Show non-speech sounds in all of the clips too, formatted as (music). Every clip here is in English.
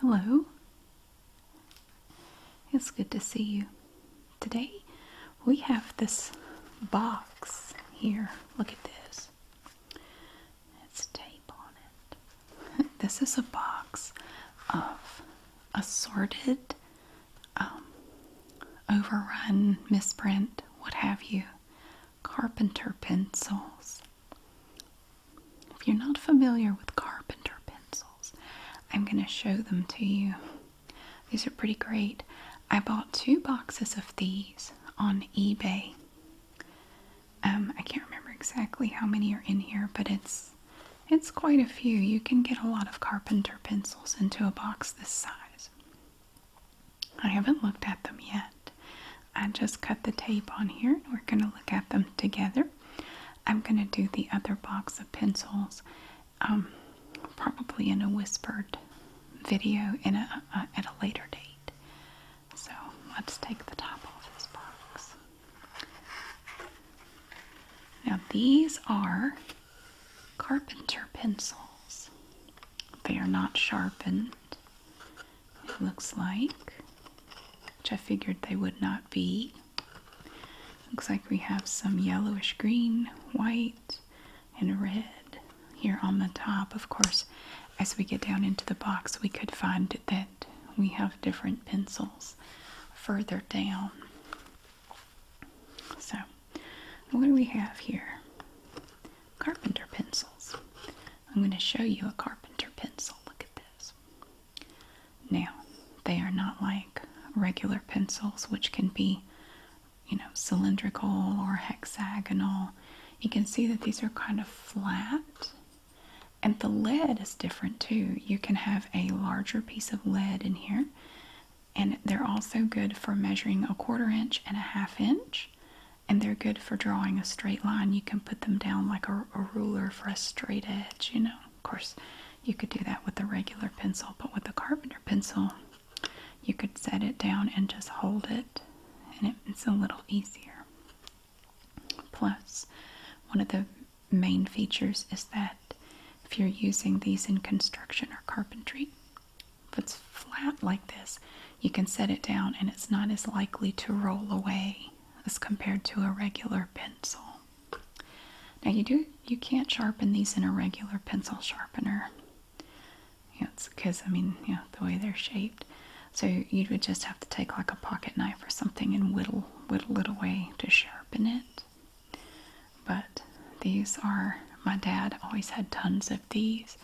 Hello. It's good to see you. Today we have this box here. Look at this. It's tape on it. (laughs) this is a box of assorted um, overrun, misprint, what have you. Carpenter pencils. If you're not familiar with carpenter pencils, I'm going to show them to you. These are pretty great. I bought two boxes of these on eBay. Um, I can't remember exactly how many are in here, but it's it's quite a few. You can get a lot of carpenter pencils into a box this size. I haven't looked at them yet. I just cut the tape on here we're going to look at them together. I'm going to do the other box of pencils um, probably in a whispered video in a, at a later date. So let's take the top off this box. Now these are carpenter pencils. They are not sharpened, it looks like, which I figured they would not be. Looks like we have some yellowish green, white, and red here on the top. Of course, as we get down into the box, we could find that we have different pencils further down. So, what do we have here? Carpenter pencils. I'm going to show you a carpenter pencil. Look at this. Now, they are not like regular pencils, which can be, you know, cylindrical or hexagonal. You can see that these are kind of flat. And the lead is different too. You can have a larger piece of lead in here and they're also good for measuring a quarter inch and a half inch and they're good for drawing a straight line you can put them down like a, ruler for a straight edge you know of course you could do that with a regular pencil but with a carpenter pencil you could set it down and just hold it and it's a little easier plus one of the main features is that if you're using these in construction or carpentry if it's flat like this, you can set it down and it's not as likely to roll away as compared to a regular pencil. Now you do you can't sharpen these in a regular pencil sharpener. Yeah, because I mean, yeah, the way they're shaped. So you would just have to take like a pocket knife or something and whittle whittle it away to sharpen it. But these are, my dad always had tons of these,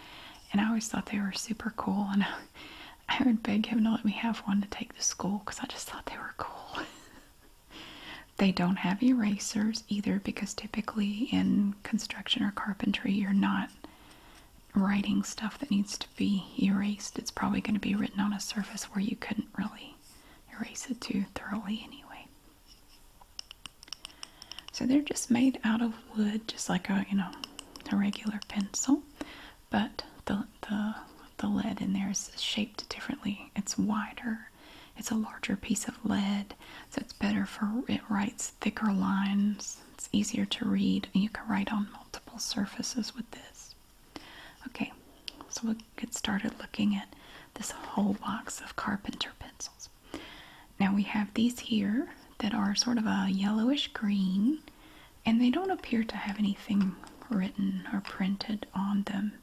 and I always thought they were super cool. And (laughs) I, would beg him to let me have one to take to school because I just thought they were cool. (laughs) they don't have erasers either because typically in construction or carpentry, you're not writing stuff that needs to be erased. It's probably going to be written on a surface where you couldn't really erase it too thoroughly anyway. So they're just made out of wood, just like a you know a regular pencil, but the the the lead in there is shaped differently. It's wider. It's a larger piece of lead, so it's better for it writes thicker lines. It's easier to read, and you can write on multiple surfaces with this. Okay, so we'll get started looking at this whole box of carpenter pencils. Now we have these here that are sort of a yellowish green and they don't appear to have anything written or printed on them.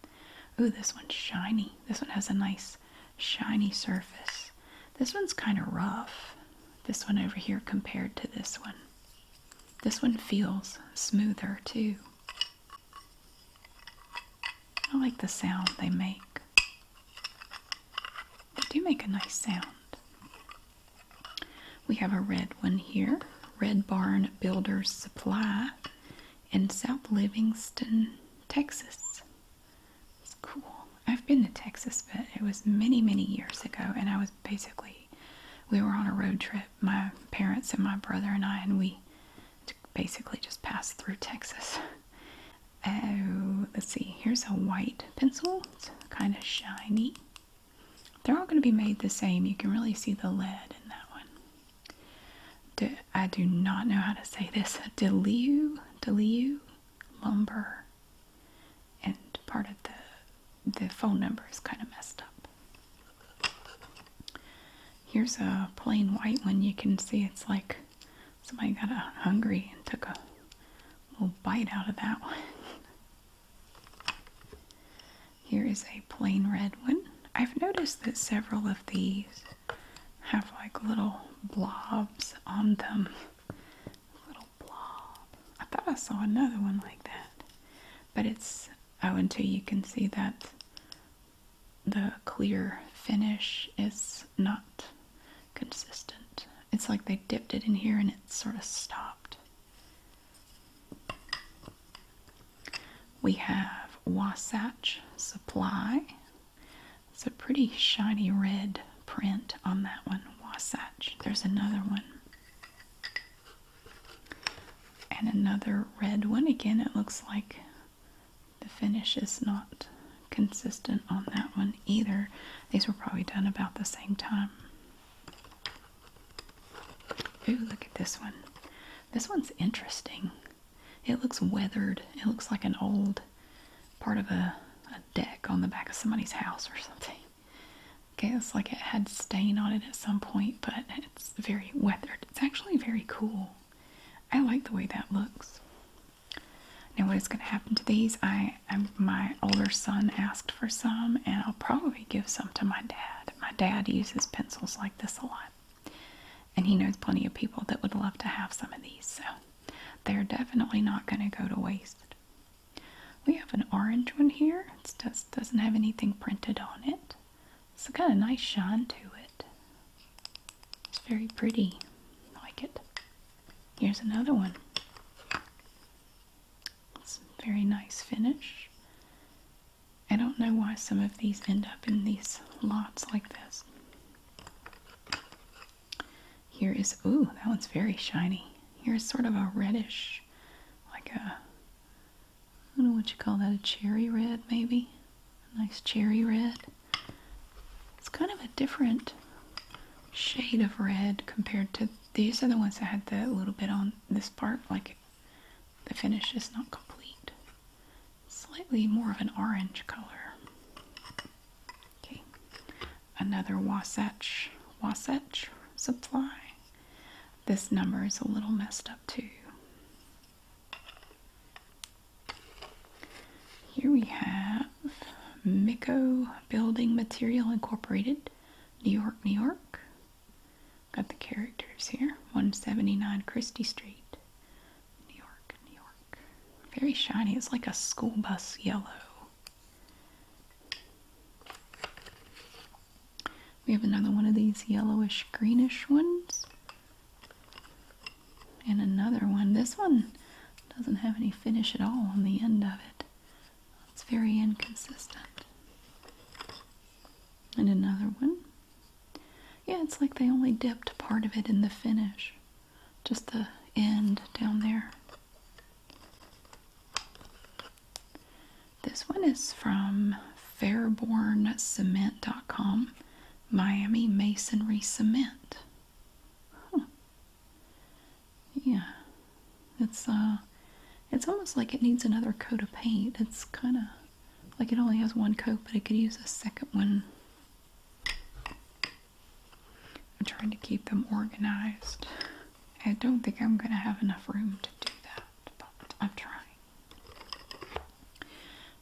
Ooh, this one's shiny. This one has a nice shiny surface. This one's kind of rough. This one over here compared to this one. This one feels smoother too. I like the sound they make. They do make a nice sound. We have a red one here Red Barn Builders Supply in South Livingston, Texas. It's cool. I've been to Texas, but it was many, many years ago, and I was basically, we were on a road trip, my parents and my brother and I, and we basically just pass through Texas. (laughs) Oh, let's see, here's a white pencil. It's kind of shiny. They're all going to be made the same. You can really see the lead in that one. I do not know how to say this. Deleu, (laughs) deleu, lumber. And part of the, the phone number is kind of messed up. Here's a plain white one. You can see it's like Somebody got hungry and took a little bite out of that one. Here is a plain red one. I've noticed that several of these have like little blobs on them. Little blob. I thought I saw another one like that. But it's, oh, until you can see that the clear finish is not consistent. It's like they dipped it in here and it sort of stopped. We have Wasatch Supply. It's a pretty shiny red print on that one, Wasatch. There's another one. And another red one. Again, it looks like the finish is not consistent on that one either. These were probably done about the same time. Ooh, look at this one. This one's interesting. It looks weathered. It looks like an old part of a, a deck on the back of somebody's house or something. I (laughs) guess like it had stain on it at some point, but it's very weathered. It's actually very cool. I like the way that looks. Now, what is going to happen to these? I, my older son asked for some, and I'll probably give some to my dad. My dad uses pencils like this a lot, and he knows plenty of people that would love to have some of these. So, they're definitely not going to go to waste. We have an orange one here. It just doesn't have anything printed on it. It's got a nice shine to it. It's very pretty. I like it. Here's another one. It's a very nice finish. I don't know why some of these end up in these lots like this. Here is, oh, that one's very shiny. Here's sort of a reddish, like a, I don't know what you call that, a cherry red maybe? nice cherry red. It's kind of a different shade of red compared to these are the ones that had the little bit on this part, like the finish is not complete. Slightly more of an orange color. Okay, another Wasatch, Wasatch Supply. This number is a little messed up too. Here we have Miko Building Material Incorporated, New York, New York. Got the characters here. 179 Christie Street, New York, New York. Very shiny. It's like a school bus yellow. We have another one of these yellowish greenish ones and another one. This one doesn't have any finish at all on the end of it. It's very inconsistent. And another one. Yeah, it's like they only dipped part of it in the finish. Just the end down there. This one is from fairborncement.com, Miami Masonry Cement. Yeah. It's uh it's almost like it needs another coat of paint. It's kind of like it only has one coat, but it could use a second one. I'm trying to keep them organized. I don't think I'm going to have enough room to do that, but I'm trying.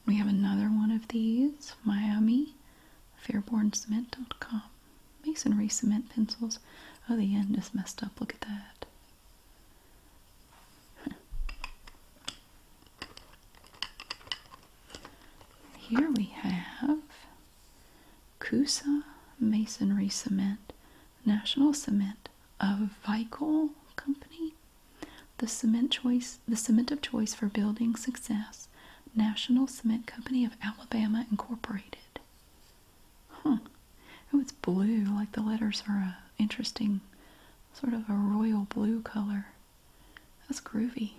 We have another one of these, Miami fairborncement.com. Masonry cement pencils. Oh, the end is messed up. Look at that. (laughs) Here we have Kusa Masonry Cement, National Cement a Vicol Company. The cement choice the cement of choice for building success, National Cement Company of Alabama Incorporated. Huh. Oh, it's blue. Like the letters are a interesting, sort of a royal blue color. That's groovy.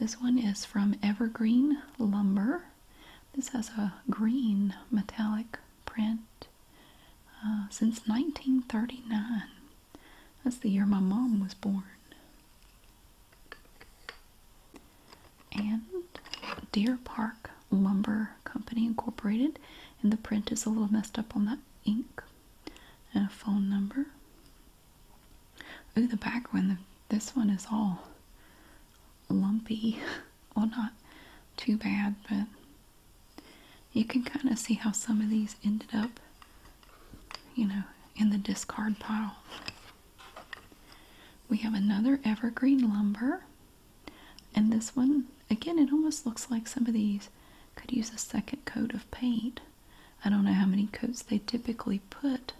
This one is from Evergreen Lumber. This has a green metallic print uh, since 1939. That's the year my mom was born. And Deer Park Lumber Company Incorporated, and the print is a little messed up on that ink, and a phone number. Ooh, the back one, this one is all lumpy. Well, (laughs) not too bad, but you can kind of see how some of these ended up, you know, in the discard pile. We have another evergreen lumber, and this one, again, it almost looks like some of these could use a second coat of paint. I don't know how many coats they typically put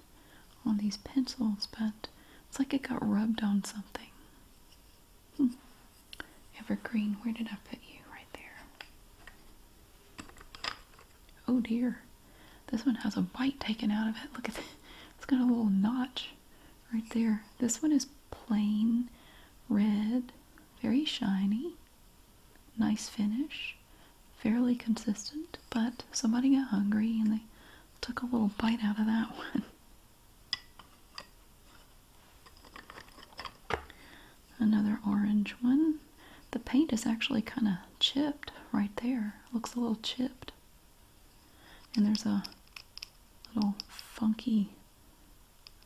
on these pencils, but it's like it got rubbed on something. Hmm. Evergreen, where did I put you? Right there. Oh dear. This one has a bite taken out of it. Look at it. It's got a little notch right there. This one is plain red, very shiny, nice finish, fairly consistent, but somebody got hungry and they took a little bite out of that (laughs) one. Another orange one. The paint is actually kind of chipped right there. Looks a little chipped. And there's a little funky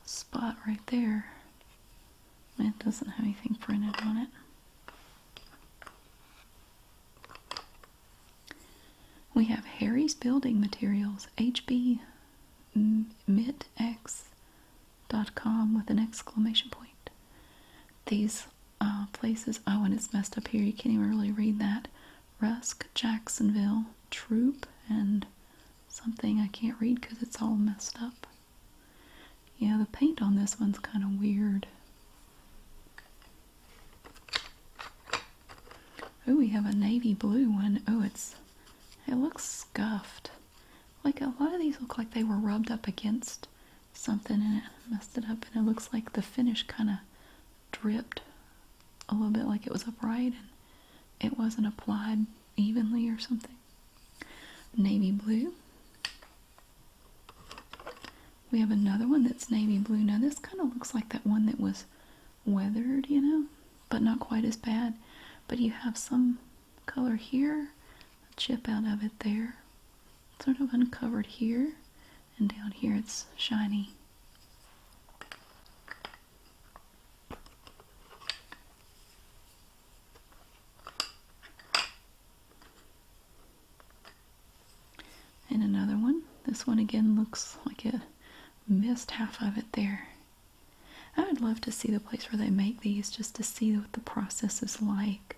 spot right there. It doesn't have anything printed on it. We have Harry's Building Materials, hbmitx.com with an exclamation point. These uh, places, oh, and it's messed up here. You can't even really read that. Rusk, Jacksonville, Troop, and something I can't read because it's all messed up. Yeah, the paint on this one's kind of weird. Oh, we have a navy blue one. Oh, it's it looks scuffed. Like a lot of these look like they were rubbed up against something and it messed it up, and it looks like the finish kind of dripped a little bit, like it was upright and it wasn't applied evenly or something. Navy blue. We have another one that's navy blue. Now this kind of looks like that one that was weathered, you know, but not quite as bad. But you have some color here, a chip out of it there, sort of uncovered here, and down here it's shiny. And another one. This one again looks like a missed half of it there. I would love to see the place where they make these just to see what the process is like.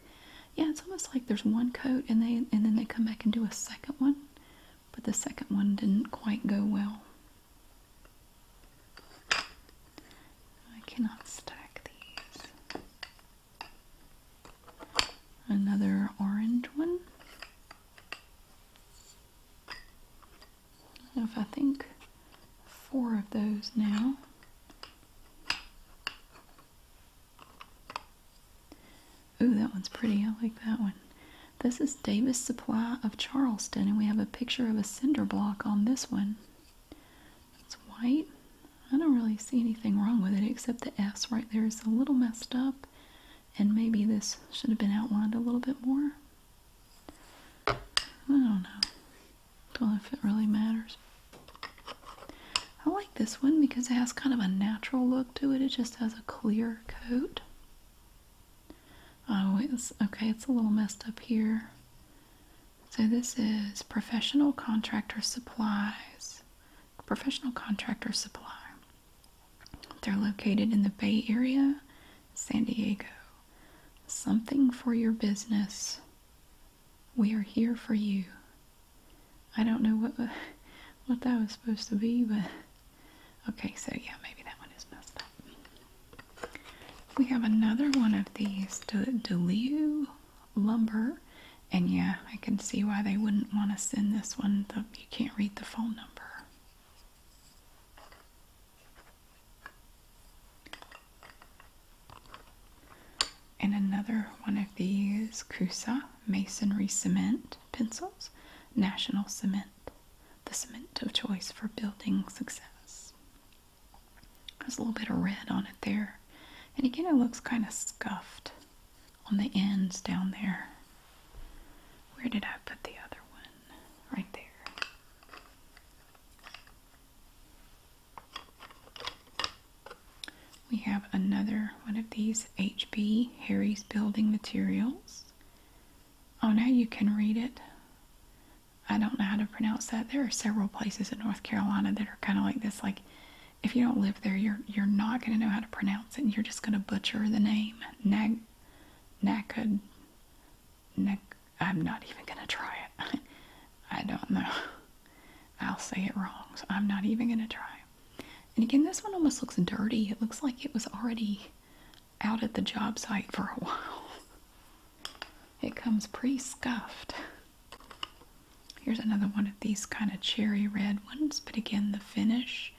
Yeah, it's almost like there's one coat and they and then they come back and do a second one, but the second one didn't quite go well. I cannot stack these. Another orange one. If I think, four of those now. Ooh, that one's pretty. I like that one. This is Davis Supply of Charleston, and we have a picture of a cinder block on this one. It's white. I don't really see anything wrong with it except the S right there is a little messed up and maybe this should have been outlined a little bit more. I don't know. Don't know if it really matters. I like this one because it has kind of a natural look to it. It just has a clear coat. Oh, it's okay. It's a little messed up here. So this is professional contractor supplies. Professional contractor supply. They're located in the Bay Area, San Diego. Something for your business. We are here for you. I don't know what (laughs) what that was supposed to be, but okay, so yeah, maybe that one is messed up. We have another one of these, De Delu Lumber, and yeah, I can see why they wouldn't want to send this one. The, you can't read the phone number. And another one of these Kusa masonry cement pencils, National Cement, the cement of choice for building success. There's a little bit of red on it there. And again, it looks kind of scuffed on the ends down there. Where did I put the other one? Right there. We have another one of these HB Harry's Building Materials. Oh, now you can read it. I don't know how to pronounce that. There are several places in North Carolina that are kind of like this. Like, if you don't live there, you're you're not going to know how to pronounce it. And you're just going to butcher the name. Nag Naked. Nak I'm not even gonna try it. (laughs) I don't know. I'll say it wrong, so I'm not even gonna try. And again, this one almost looks dirty. It looks like it was already out at the job site for a (laughs) while. It comes pre scuffed. Here's another one of these kind of cherry red ones, but again, the finish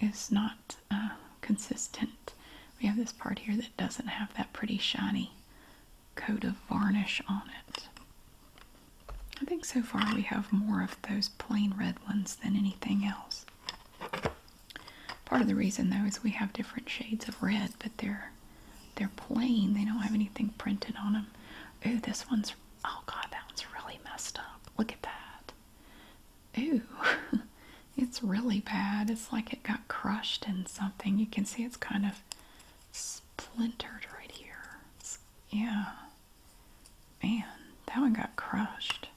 is not uh, consistent. We have this part here that doesn't have that pretty shiny coat of varnish on it. I think so far we have more of those plain red ones than anything else. Part of the reason though is we have different shades of red, but they're they're plain. They don't have anything printed on them. Oh, this one's oh god, that one's really messed up. Look at that. Ooh, (laughs) it's really bad. It's like it got crushed in something. You can see it's kind of splintered right here. yeah. Man, that one got crushed.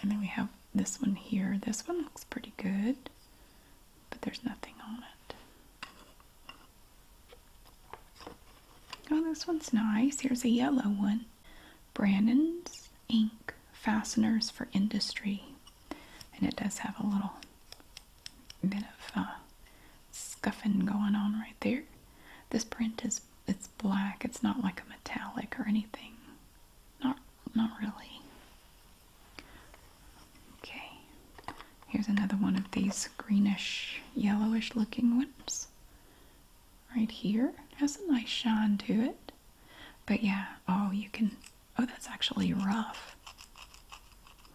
And then we have this one here. This one looks pretty good, but there's nothing on it. Oh, this one's nice. Here's a yellow one. Brandon's Ink Fasteners for Industry. And it does have a little bit of uh, scuffing going on right there. This print is it's black. It's not like a metallic or anything. Not not really. Okay. Here's another one of these greenish yellowish looking ones right here. has a nice shine to it. But yeah, oh, you can, oh, that's actually rough.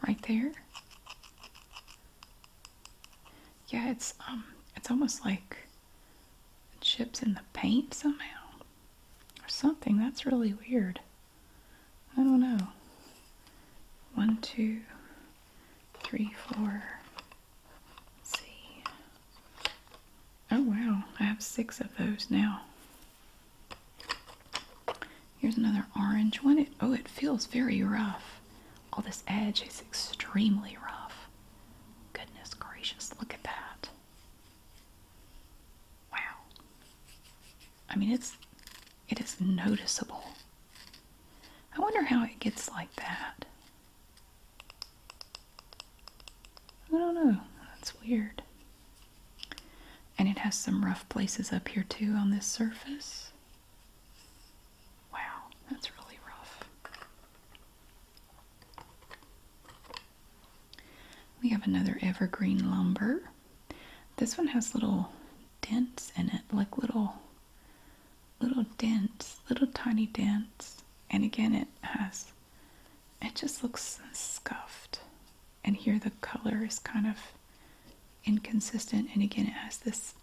Right there. Yeah, it's, um, it's almost like chips in the paint somehow or something. That's really weird. I don't know. One, two, three, four, see. Oh wow, I have six of those now. Here's another orange one. It, oh, it feels very rough. All this edge is extremely rough. Goodness gracious, look at that. Wow. I mean, it's it is noticeable. I wonder how it gets like that. I don't know. That's weird. And it has some rough places up here too on this surface. Wow, that's really rough. We have another evergreen lumber. This one has little dents in it, like little little dents, little tiny dents. And again, it has, it just looks scuffed. And here the color is kind of inconsistent. And again, it has this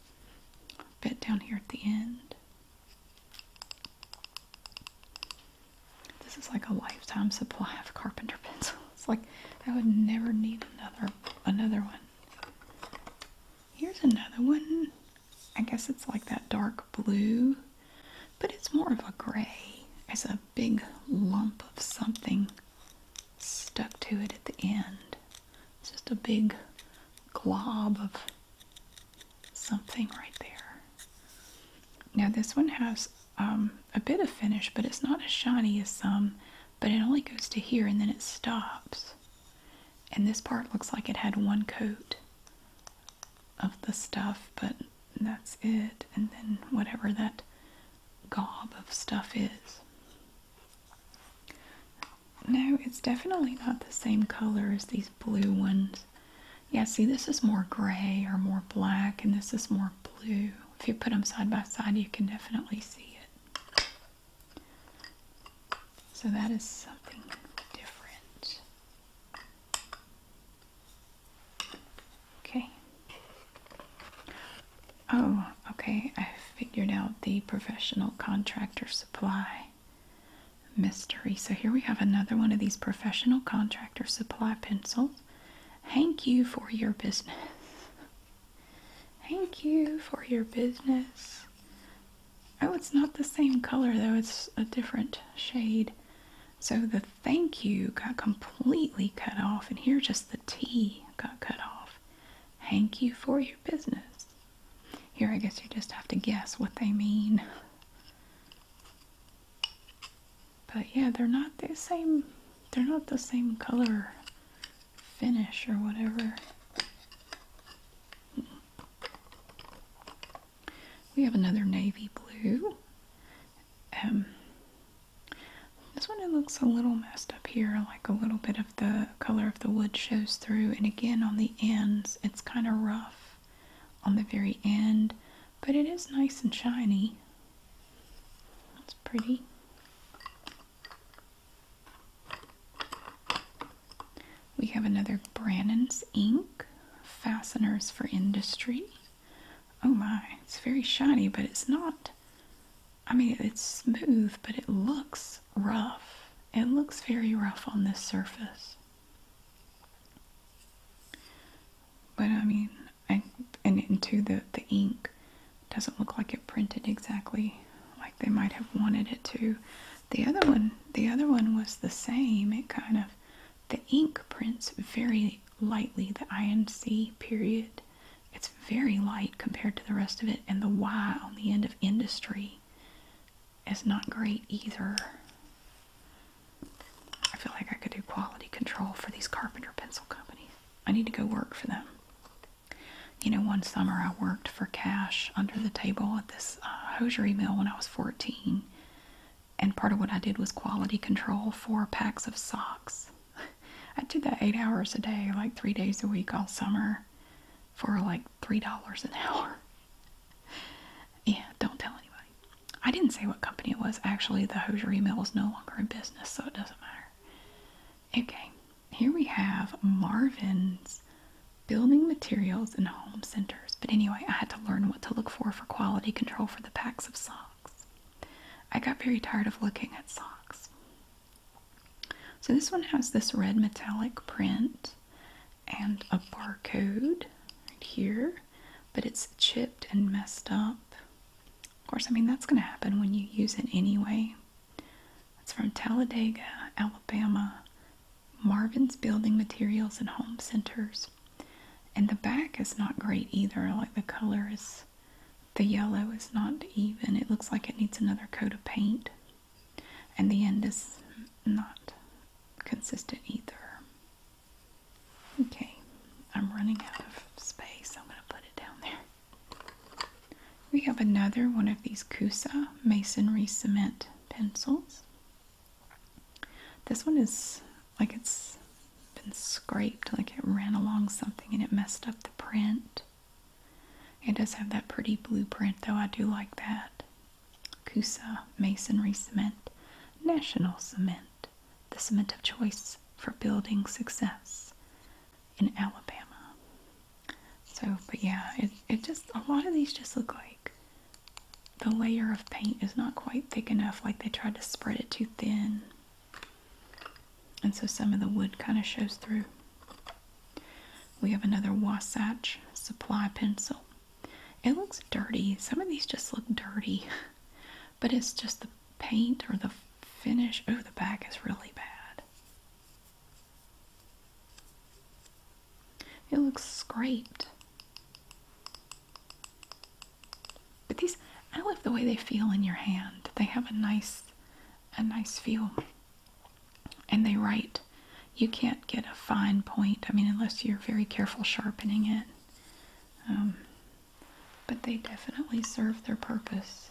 bit down here at the end. This is like a lifetime supply of carpenter pencils. It's (laughs) like I would never need another another one. Here's another one. I guess it's like that dark blue, but it's more of a gray. It's a big lump of something stuck to it at the end. It's just a big glob of something right there. Now this one has um, a bit of finish, but it's not as shiny as some, but it only goes to here and then it stops. And this part looks like it had one coat of the stuff, but that's it. And then whatever that gob of stuff is. No, it's definitely not the same color as these blue ones. Yeah, see, this is more gray or more black, and this is more blue. If you put them side by side, you can definitely see it. So that is something different. Okay. Oh, okay. I figured out the professional contractor supply mystery. So here we have another one of these professional contractor supply pencils. Thank you for your business. Thank you for your business. Oh, it's not the same color though, it's a different shade. So the thank you got completely cut off, and here just the T got cut off. Thank you for your business. Here, I guess you just have to guess what they mean. But yeah, they're not the same, they're not the same color finish or whatever. We have another navy blue. Um, this one it looks a little messed up here, like a little bit of the color of the wood shows through. And again, on the ends, it's kind of rough on the very end, but it is nice and shiny. That's pretty. We have another Brannan's ink, fasteners for industry. Oh my, it's very shiny, but it's not. I mean, it's smooth, but it looks rough. It looks very rough on this surface. But I mean, I, and into the, the ink doesn't look like it printed exactly like they might have wanted it to. The other one, the other one was the same. It kind of the ink prints very lightly the INC period. It's very light compared to the rest of it, and the Y on the end of industry is not great either. I feel like I could do quality control for these carpenter pencil companies. I need to go work for them. You know, one summer I worked for cash under the table at this uh, hosiery mill when I was 14. And part of what I did was quality control for packs of socks. (laughs) I did that eight hours a day, like three days a week all summer for like $3 an hour. (laughs) Yeah, don't tell anybody. I didn't say what company it was. Actually, the hosiery mill was no longer in business, so it doesn't matter. Okay, here we have Marvin's building materials in home centers. But anyway, I had to learn what to look for for quality control for the packs of socks. I got very tired of looking at socks. So this one has this red metallic print and a barcode right here, but it's chipped and messed up. Of course, I mean, that's going to happen when you use it anyway. It's from Talladega, Alabama, Marvin's Building Materials and Home Centers. And the back is not great either. Like the color is, the yellow is not even. It looks like it needs another coat of paint. And the end is not consistent either. Okay, I'm running out of space. I'm going to put it down there. We have another one of these Kusa masonry cement pencils. This one is like it's been scraped, like it ran along something and it messed up the print. It does have that pretty blueprint though, I do like that. Kusa Masonry Cement, National Cement, the cement of choice for building success in Alabama. So, but yeah, it, it just, a lot of these just look like the layer of paint is not quite thick enough, like they tried to spread it too thin. And so some of the wood kind of shows through. We have another Wasatch Supply pencil. It looks dirty. Some of these just look dirty, (laughs) but it's just the paint or the finish. Oh, the back is really bad. It looks scraped. But these, I love the way they feel in your hand. They have a nice, a nice feel. And they write. You can't get a fine point. I mean, unless you're very careful sharpening it. Um, but they definitely serve their purpose.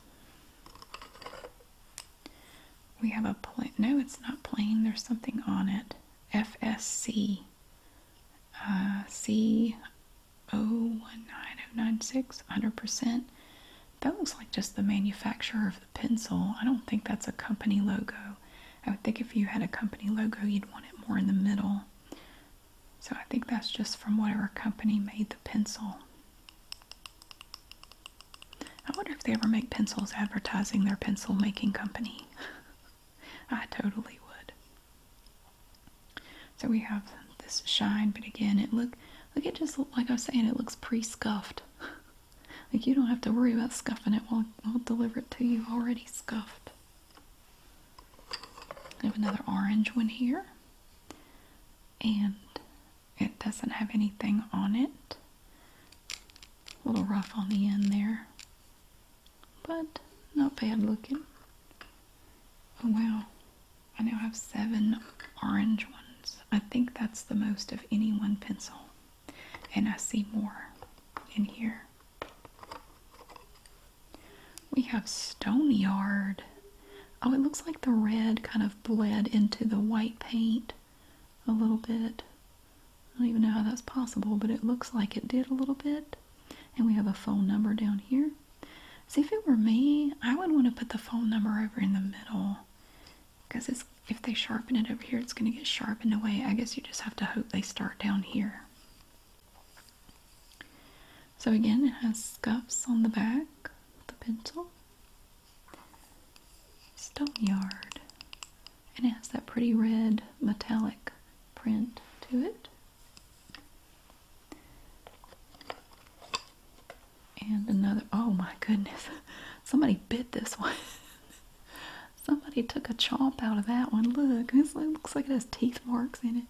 We have a plain, no, it's not plain. There's something on it. FSC uh, c oh percent That looks like just the manufacturer of the pencil. I don't think that's a company logo. I would think if you had a company logo, you'd want it more in the middle. So I think that's just from whatever company made the pencil. I wonder if they ever make pencils advertising their pencil making company. (laughs) I totally would. So we have this shine, but again, it look look it just like I was saying, it looks pre-scuffed. (laughs) like you don't have to worry about scuffing it. We'll we'll deliver it to you already scuffed. have another orange one here, and it doesn't have anything on it. A little rough on the end there but not bad looking. Oh wow, I now have seven orange ones. I think that's the most of any one pencil, and I see more in here. We have Stoneyard. Oh, it looks like the red kind of bled into the white paint a little bit. I don't even know how that's possible, but it looks like it did a little bit. And we have a phone number down here. See, if it were me, I would want to put the phone number over in the middle. Because if they sharpen it over here, it's going to get sharpened away. I guess you just have to hope they start down here. So again, it has scuffs on the back, the pencil. Stone Yard and it has that pretty red metallic print to it. And another, oh my goodness, (laughs) somebody bit this one. (laughs) somebody took a chop out of that one. Look, it looks like it has teeth marks in it.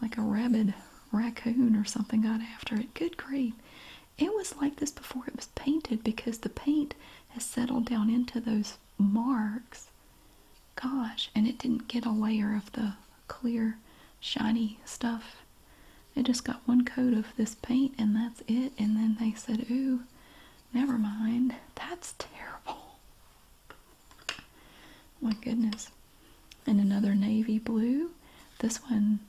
Like a rabid raccoon or something got after it. Good grief. It was like this before it was painted because the paint has settled down into those marks. Gosh, and it didn't get a layer of the clear, shiny stuff. It just got one coat of this paint and that's it. And then they said, ooh, never mind. That's terrible. My goodness. And another navy blue. This one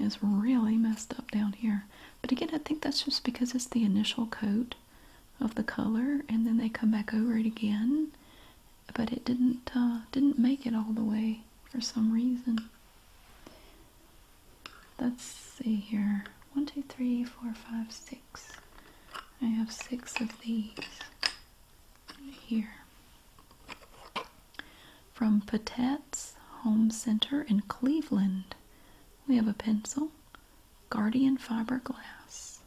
is really messed up down here. But again, I think that's just because it's the initial coat of the color and then they come back over it again but it didn't uh, didn't make it all the way for some reason let's see here one two three four five six I have six of these here from Patette's Home Center in Cleveland we have a pencil Guardian Fiberglass.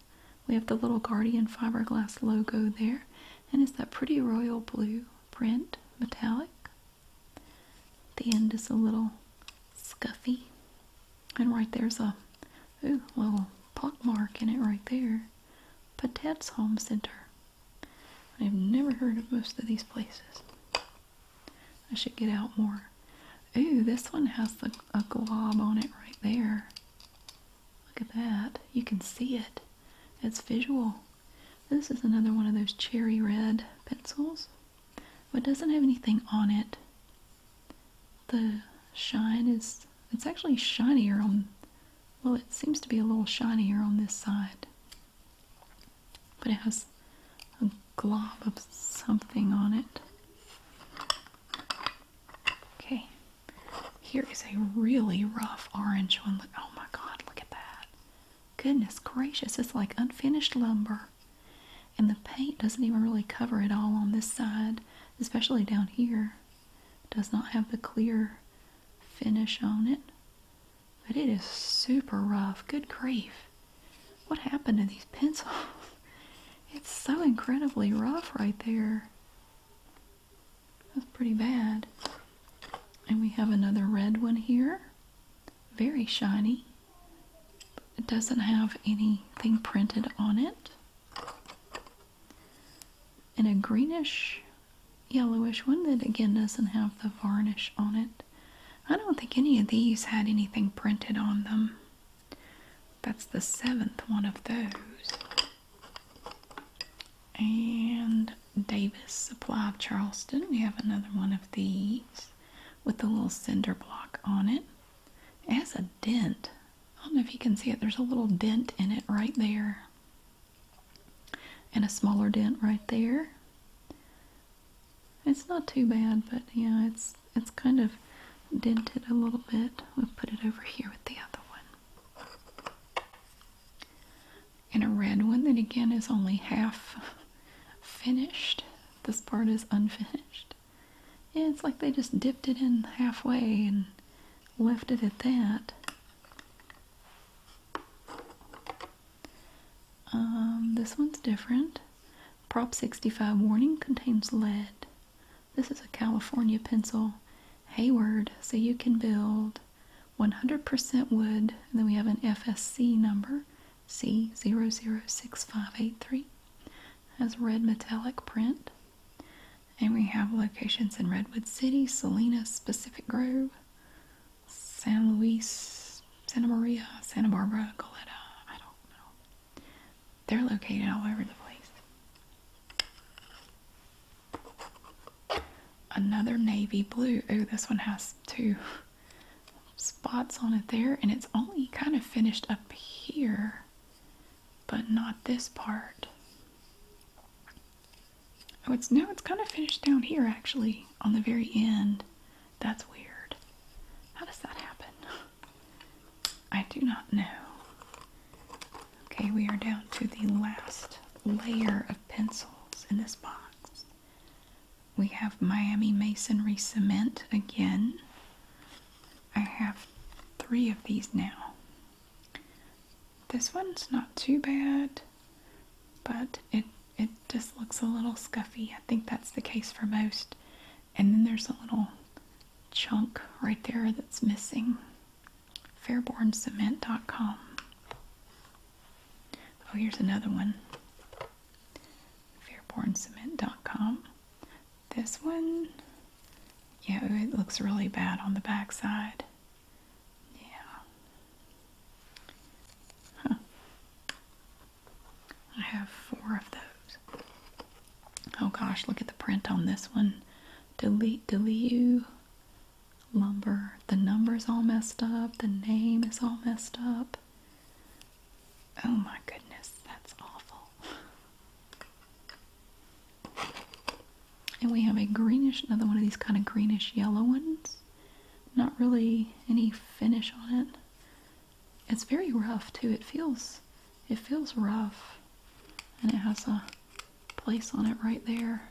We have the little Guardian Fiberglass logo there, and it's that pretty royal blue print, metallic. The end is a little scuffy, and right there's a ooh, little pockmark in it right there. Patette's Home Center. I've never heard of most of these places. I should get out more. Ooh, this one has a glob on it right there. Look at that. You can see it. It's visual. This is another one of those cherry red pencils, but doesn't have anything on it. The shine is, it's actually shinier on, well, it seems to be a little shinier on this side but it has a glob of something on it. Okay, here is a really rough orange one. Oh my god, look at that! Goodness gracious, it's like unfinished lumber. And the paint doesn't even really cover it all on this side, especially down here. It does not have the clear finish on it. But it is super rough. Good grief. What happened to these pencils? (laughs) It's so incredibly rough right there. That's pretty bad. And we have another red one here. Very shiny. It doesn't have anything printed on it. And a greenish, yellowish one that again doesn't have the varnish on it. I don't think any of these had anything printed on them. That's the seventh one of those. And Davis Supply of Charleston. We have another one of these with a little cinder block on it. It has a dent. I don't know if you can see it. There's a little dent in it right there. And a smaller dent right there. It's not too bad, but yeah, it's it's kind of dented a little bit. we put it over here with the other one. And a red one that again is only half (laughs) finished. This part is unfinished. Yeah, it's like they just dipped it in halfway and left it at that. Um, this one's different. Prop 65 warning contains lead. This is a California pencil, Hayward, so you can build 100% wood. And then we have an FSC number, C006583. Has red metallic print. And we have locations in Redwood City, Salinas, Pacific Grove, San Luis, Santa Maria, Santa Barbara, Goleta. I don't know. They're located all over the place. Another navy blue. Oh, this one has two spots on it there, and it's only kind of finished up here, but not this part. Oh, it's no, it's kind of finished down here actually on the very end. That's weird. How does that happen? (laughs) I do not know. Okay, we are down to the last layer of pencils in this box. We have Miami Masonry Cement again. I have three of these now. This one's not too bad, but it it just looks a little scuffy. I think that's the case for most and then there's a little chunk right there that's missing. Fairborncement.com. Oh, here's another one. Fairborncement.com. This one, yeah, it looks really bad on the backside. Yeah. I have four of those. Oh gosh, look at the print on this one. Delete, delete you. Lumber. The number's all messed up. The name is all messed up. Oh my goodness, that's awful. And we have a greenish, another one of these kind of greenish yellow ones. Not really any finish on it. It's very rough too. It feels it feels rough. And it has a place on it right there.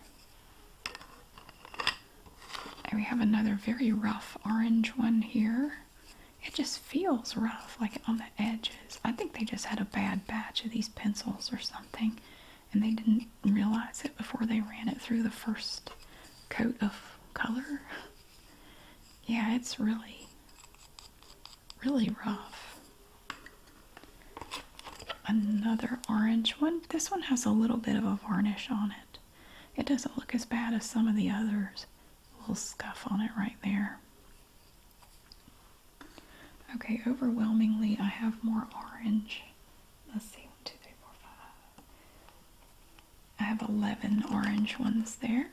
And we have another very rough orange one here. It just feels rough, like on the edges. I think they just had a bad batch of these pencils or something. And they didn't realize it before they ran it through the first coat of color. (laughs) Yeah, it's really, really rough. Another orange one. This one has a little bit of a varnish on it. It doesn't look as bad as some of the others. little scuff on it right there. Okay, overwhelmingly I have more orange. Let's see, one, two, three, four, five, I have 11 orange ones there.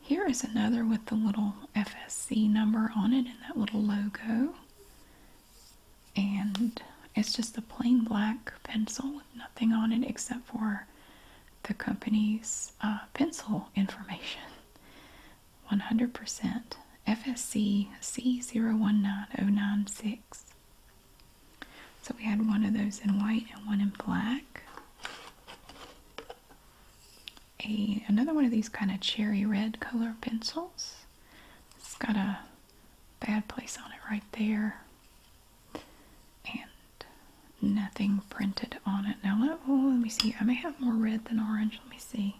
Here is another with the little FSC number on it and that little logo. And it's just a plain black pencil with nothing on it except for the company's uh, pencil information. 100% FSC C019096. So we had one of those in white and one in black a another one of these kind of cherry red color pencils. It's got a bad place on it right there. And nothing printed on it. Now let, oh, let me see. I may have more red than orange. Let me see.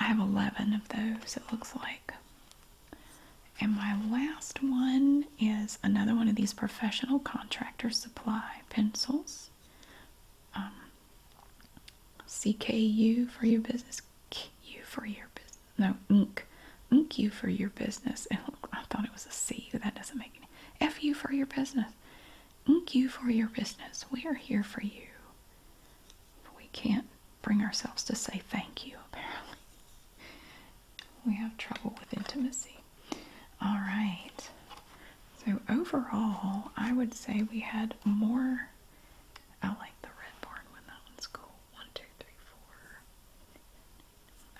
I have 11 of those, it looks like. And my last one is another one of these professional contractor supply pencils. Um, CKU for your business, Q for your business. No, ink, ink you for your business. And I thought it was a C, that doesn't make any. Fu for your business, ink you for your business. We are here for you. We can't bring ourselves to say thank you. Apparently, (laughs) we have trouble with intimacy. All right. So overall, I would say we had more. I like the red barn one. That one's cool. One, two, three, four.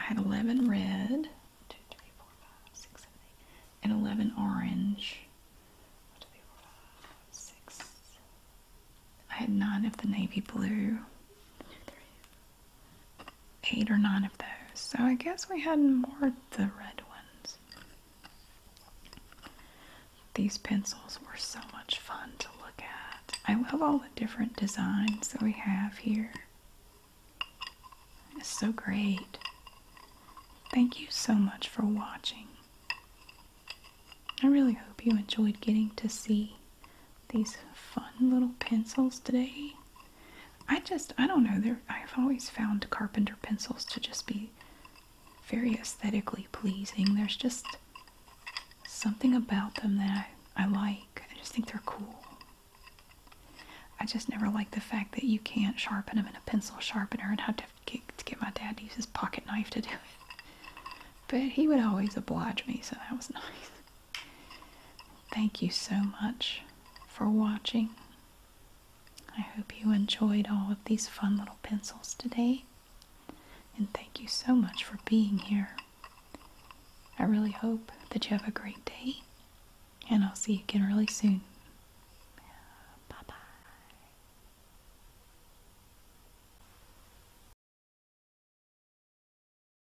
I had 11 red. Two, three, four, five, six, seven, eight. And 11 orange. One, two, three, four, five, six. I had nine of the navy blue. One, two, three, eight or nine of those. So I guess we had more of the red ones. These pencils were so much fun to look at. I love all the different designs that we have here. It's so great. Thank you so much for watching. I really hope you enjoyed getting to see these fun little pencils today. I just, I don't know, I've always found carpenter pencils to just be very aesthetically pleasing. There's just something about them that I, like. I just think they're cool. I just never liked the fact that you can't sharpen them in a pencil sharpener and I have to get my dad to use his pocket knife to do it. But he would always oblige me, so that was (laughs) nice. Thank you so much for watching. I hope you enjoyed all of these fun little pencils today. And thank you so much for being here. I really hope that you have a great day. And I'll see you again really soon. Bye bye.